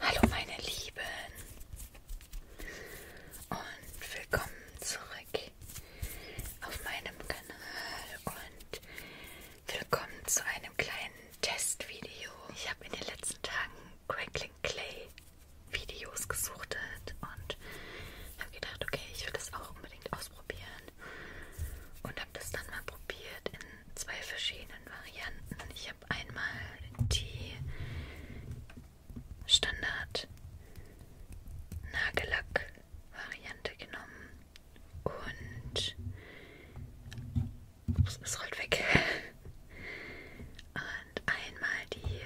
Hallo meine Lieben und willkommen zurück auf meinem Kanal und willkommen zu einem kleinen Testvideo. Ich habe in den letzten Tagen Crackling Clay Videos gesuchtet und habe gedacht, okay, ich will das auch unbedingt ausprobieren und habe das dann mal probiert in zwei verschiedenen Varianten. Ich habe einmal die Standard Nagellack Variante genommen und ups, es rollt weg. Und einmal die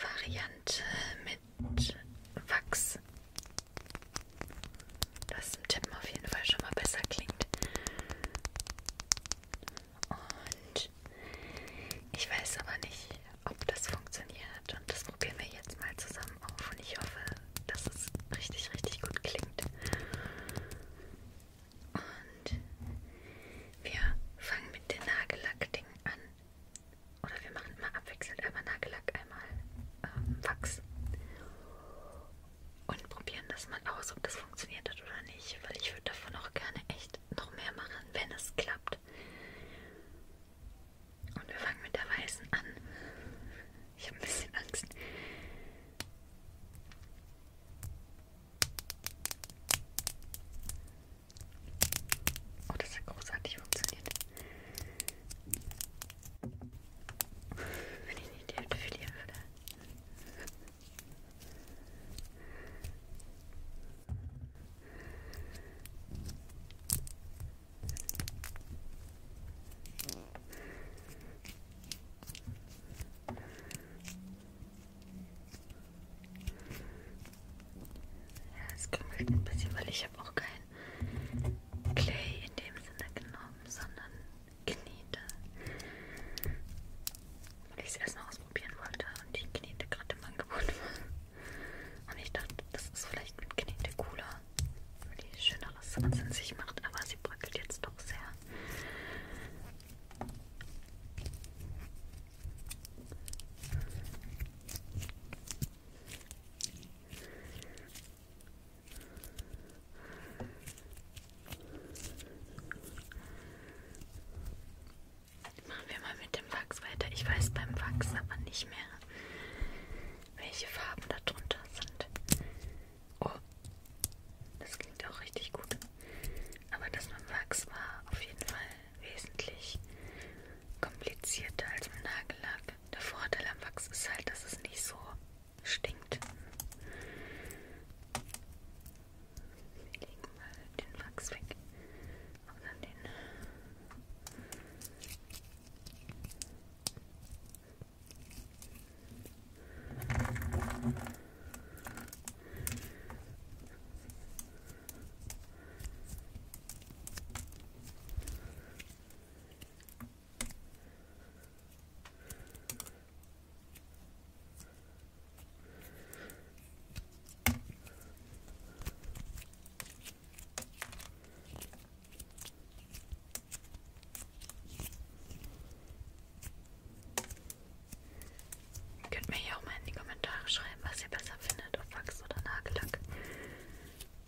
Variante mit Wachs. Das im Tippen auf jeden Fall schon mal besser klingt. Und ich weiß aber nicht, ob das funktioniert. Und das probieren wir jetzt mal zusammen auf. Und ich hoffe, dass es richtig, richtig gut klingt. Und wir fangen mit dem Nagellackding an. Oder wir machen immer abwechselnd einmal Nagellack, einmal ähm, Wachs. Und probieren das mal aus, ob das funktioniert hat oder nicht. Weil ich würde davon auch gerne echt noch mehr machen, wenn es klappt. Und wir fangen mit der weißen an. Ich habe ein bisschen Angst. Oh, das hat großartig funktioniert. Wenn ich nicht die Hälfte verlieren würde. Ja, es kümmert ein bisschen, weil ich habe auch keinen kein Clay in dem Sinne genommen, sondern Knete. Weil ich es erst mal ausprobieren wollte und die Knete gerade im Angebot war. Und ich dachte, das ist vielleicht mit Knete cooler, weil die schöneres als in sich macht, aber sie bröckelt jetzt doch sehr. Machen wir mal mit dem Wachs weiter. Ich weiß beim Wachs aber nicht mehr, welche Farben da drunter sind. Oh, das klingt auch richtig gut. Aber das mit dem Wachs war auf jeden Fall wesentlich komplizierter als im Nagellack. Der Vorteil am Wachs ist halt, dass es nicht so stinkt. Wir legen mal den Wachs weg und dann den Ihr könnt mir hier auch mal in die Kommentare schreiben, was ihr besser findet, ob Wachs oder Nagellack.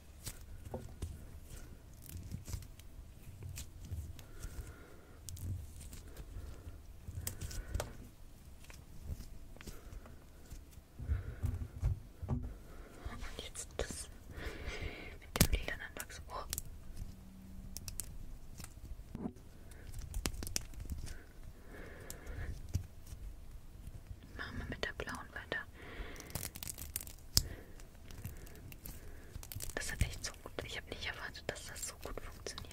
Und jetzt das mit dem lilanen Wachs. Oh. Machen wir mit der blauen weiter. Das hat echt so gut. Ich habe nicht erwartet, dass das so gut funktioniert.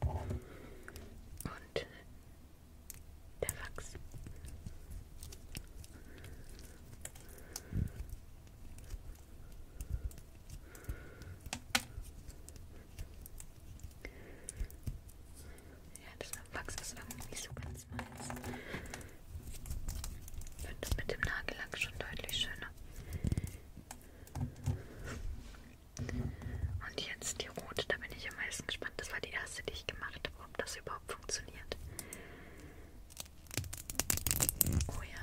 Und der Wachs. Ja, das Wachs ist irgendwie nicht so ganz meins. Ich finde das mit dem Nagellack schon deutlich schöner. Und jetzt die rote, da bin ich am meisten gespannt. Das war die erste, die ich gemacht habe, ob das überhaupt funktioniert. Oh ja.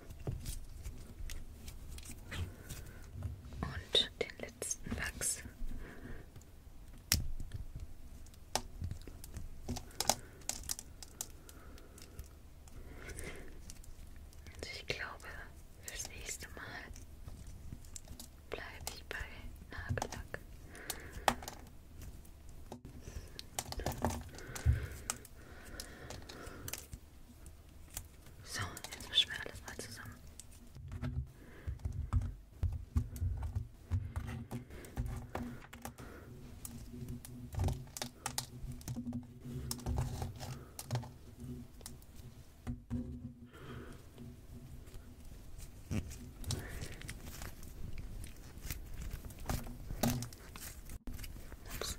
Und den letzten Wachs. Also ich glaube, fürs nächste Mal bleibe ich bei Nagellack. So, jetzt mischen wir alles mal zusammen. Ups.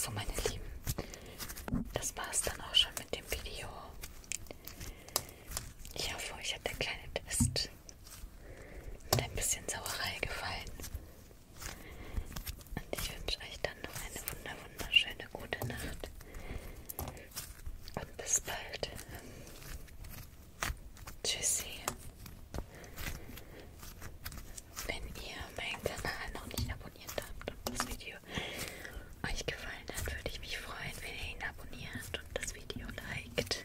So, meine Lieben, das war es dann auch schon mit dem Video. Ich hoffe, euch hat der kleine Test mit ein bisschen Sauerei gefallen. Und ich wünsche euch dann noch eine wunder wunderschöne gute Nacht. Und bis bald. Tschüssi. Wenn ihr meinen Kanal noch nicht abonniert habt und das Video euch gefallen hat, würde ich mich freuen, wenn ihr ihn abonniert und das Video liked.